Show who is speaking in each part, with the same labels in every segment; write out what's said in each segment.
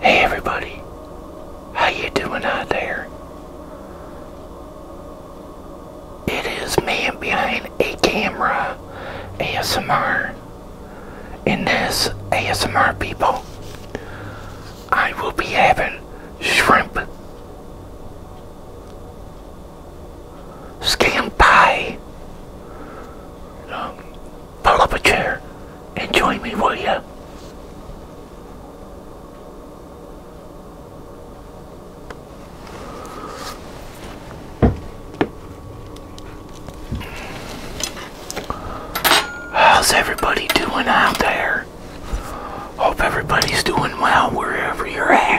Speaker 1: Hey everybody, how you doing out there? It is man behind a camera ASMR. In this ASMR people, I will be having shrimp scam pie. Um, pull up a chair and join me, will you? How's everybody doing out there? Hope everybody's doing well wherever you're at.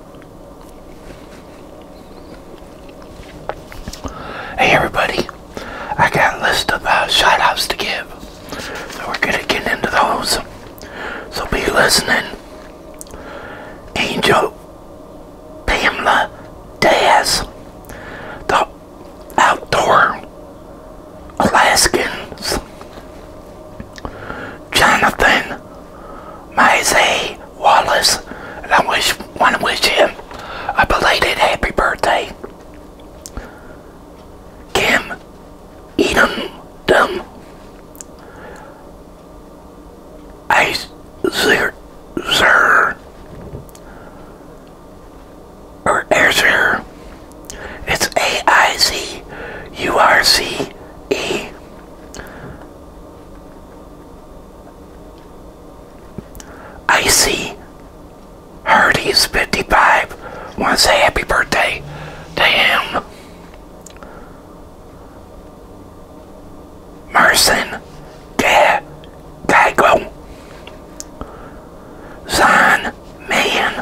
Speaker 1: Hey everybody, I got a list of uh, shoutouts to give. So we're going to get into those. So be listening. Angel Pamela Daz, the outdoor Alaskans, Jonathan Mizay, Wallace, I wish want to wish him a belated happy birthday. Kim Edom Dum Azer or Azer. It's A I Z U R C E I see. Icy Hardy's 55 wants a happy birthday damn. him. Marson da Geigo Man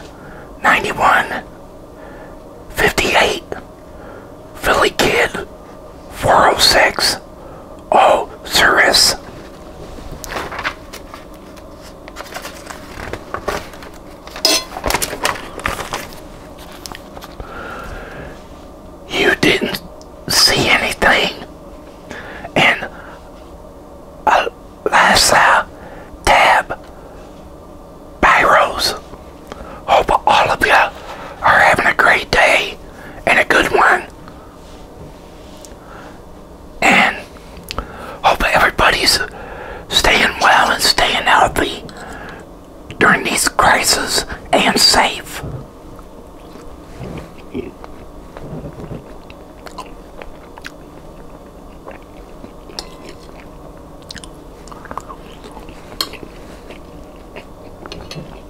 Speaker 1: 91 Philly Kid 406 Oh Cirrus oh, You didn't see anything and Alasa Tab Pyros Hope all of you are having a great day and a good one. And hope everybody's staying well and staying healthy during these crises and safe.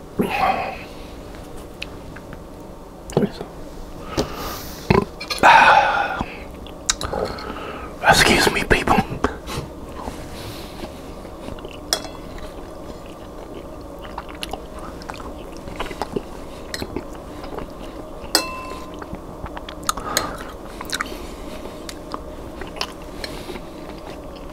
Speaker 1: Excuse me, people.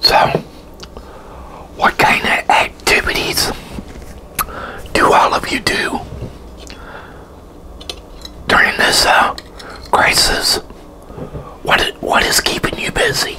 Speaker 1: So, what kind of activities do all of you do during this uh, crisis? What is, what is keeping you busy?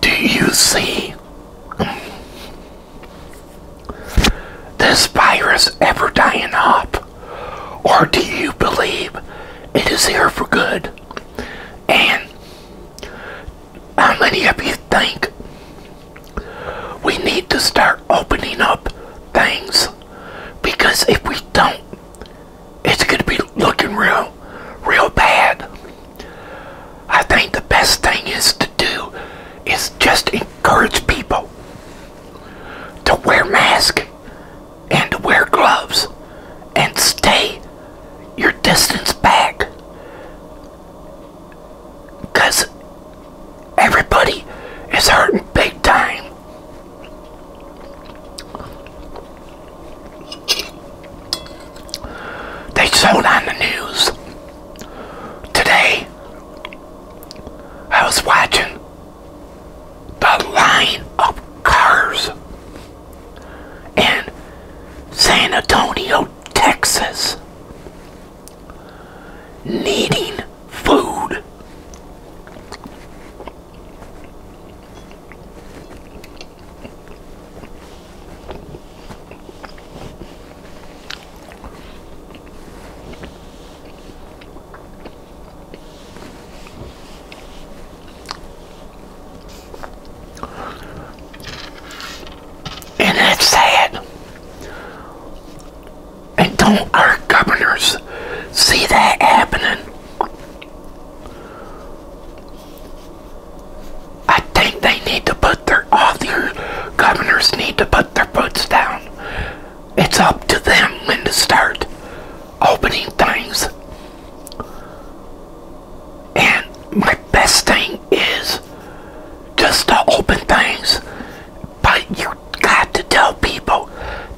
Speaker 1: do you see this virus ever dying off, Or do you believe it is here for good? And how many of you think we need to start opening up things? Because if we don't, it's going to be looking real, real bad. I think the best thing is to do is just encourage people to wear masks and to wear gloves and stay your distance back. Because everybody is hurting big time. They showed on the news today. I was watching the line of cars in San Antonio, Texas, needing food. And that's sad. And don't our governors see that happening? I think they need to put their, all governors need to put their boots down. It's up to them when to start opening things. And my best thing is just to open things, but you got to tell people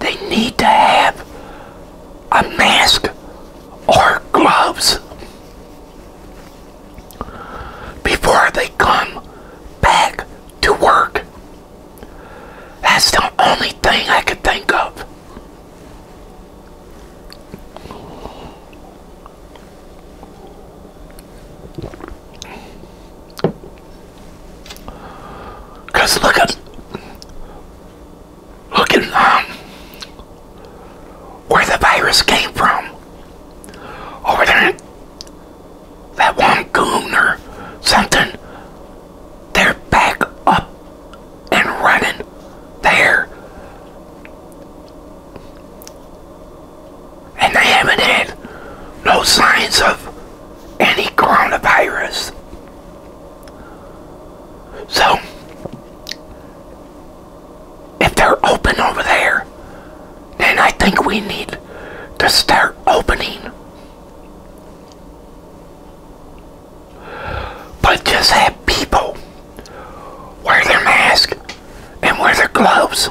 Speaker 1: they need to have a mask or gloves before they come back to work. That's the only thing I could think of. Because look at looking um, where the virus came from. Over there, that one goon or something, they're back up and running there. And they haven't had no signs of any coronavirus. So, if they're open over there, then I think we need to start opening. But just have people wear their mask and wear their gloves.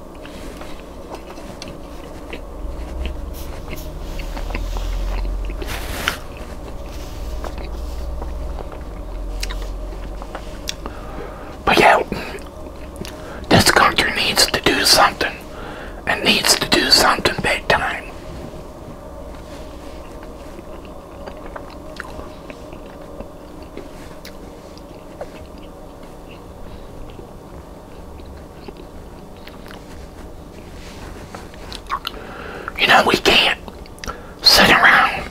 Speaker 1: But yeah, this country needs to do something and needs to do something big time. You know, we can't sit around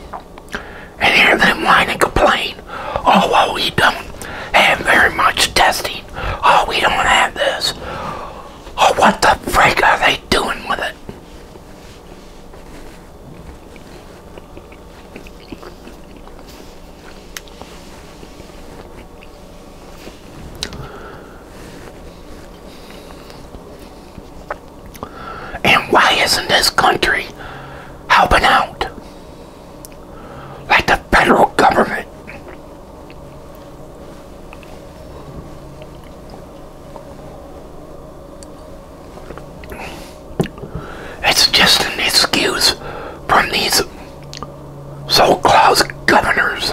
Speaker 1: and hear them whine and complain. Oh, well, we don't have very much testing. Oh, we don't have this. Oh, what the frick are they doing with it? And why isn't this country helping out? Like the federal government. It's just an excuse from these so Klaus governors.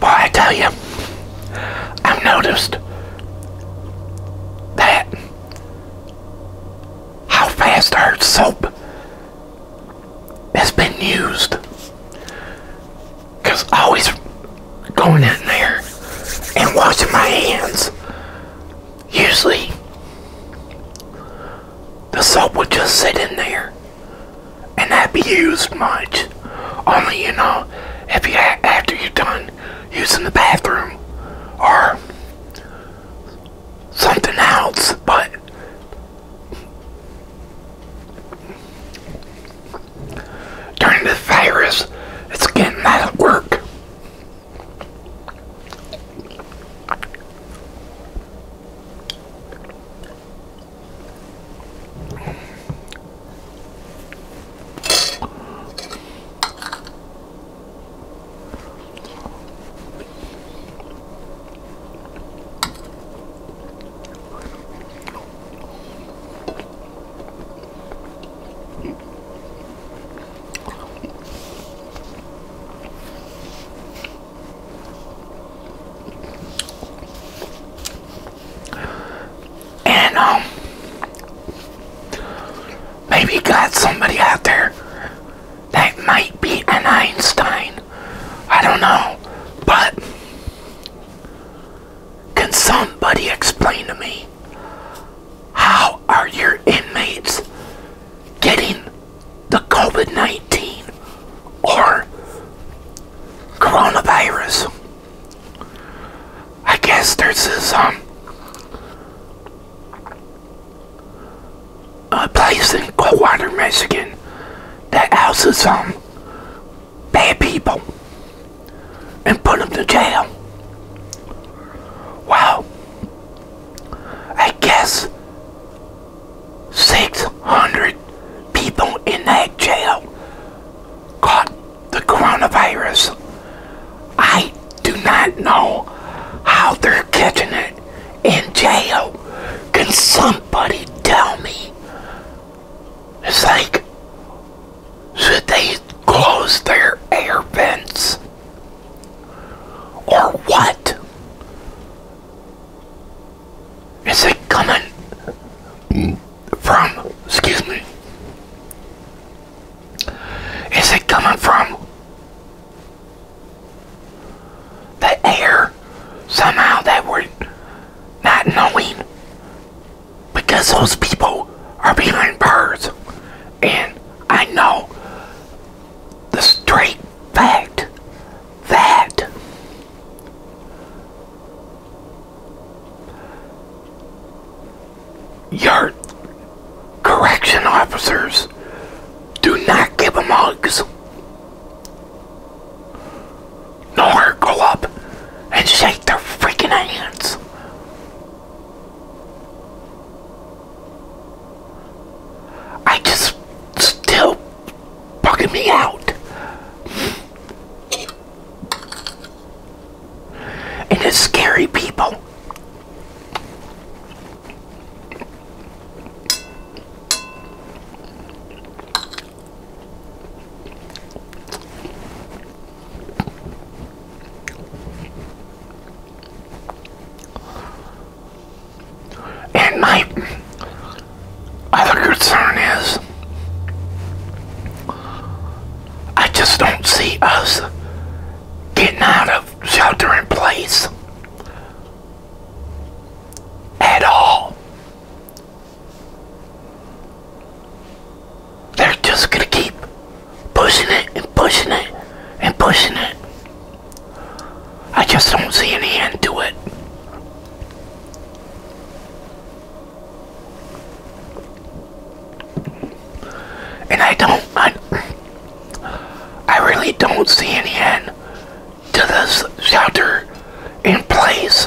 Speaker 1: Boy, I tell you, I've noticed that how fast our soap has been used. Because always going in there and washing my hands. Usually, the soap would just sit in there and not be used much. Only, you know, if you after you're done using the bathroom or something else, but during the virus, it's getting out of work. And um, maybe got somebody out there that might be an Einstein. I don't know. But can somebody explain to me how are your inmates getting the COVID 19 or coronavirus? I guess there's this um, a place in Coldwater, Michigan that houses um bad people and put them to jail. Wow. I guess 600 people in that jail caught the coronavirus. I do not know how they're catching it in jail. Can somebody tell me? It's like should they close their air vents or what? Is it coming from, excuse me, is it coming from the air somehow that we're not knowing because those people are behind bars. And I know the straight fact that your correction officers do not give them hugs. Nor go up and shake their freaking hands. I just still fucking me out. And it's scary people. And my other concern is I just don't see us getting out of shelter in place at all. They're just going to keep pushing it and pushing it and pushing it. I just don't see any end to it. And I don't, I, really don't see any end to this shelter in place.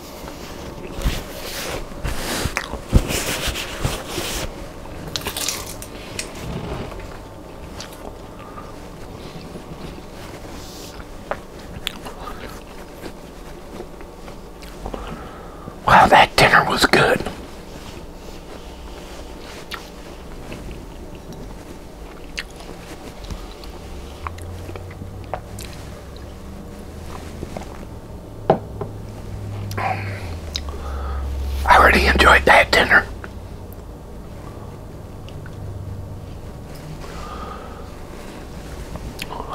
Speaker 1: Wow, that dinner was good. I already enjoyed that dinner.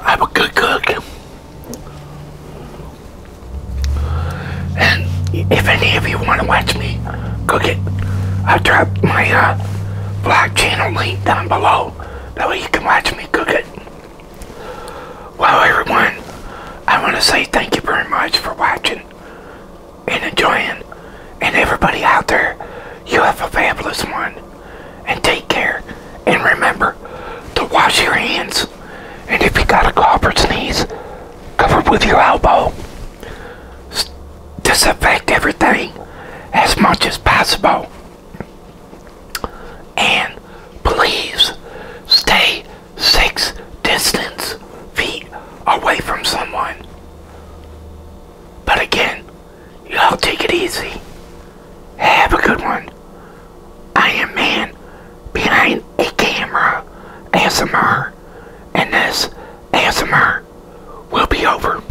Speaker 1: I'm a good cook. And if any of you want to watch me cook it, I'll drop my uh, channel link down below. That way you can watch me cook it. Wow, everyone, I want to say thank you very much for watching and enjoying. And everybody out there, you have a fabulous one. And take care. And remember to wash your hands. And if you got a cough or sneeze, cover with your elbow. S disinfect everything as much as possible. And please stay six distance feet away from someone. But again, y'all take it easy. Have a good one. I am man behind a camera ASMR and this ASMR will be over.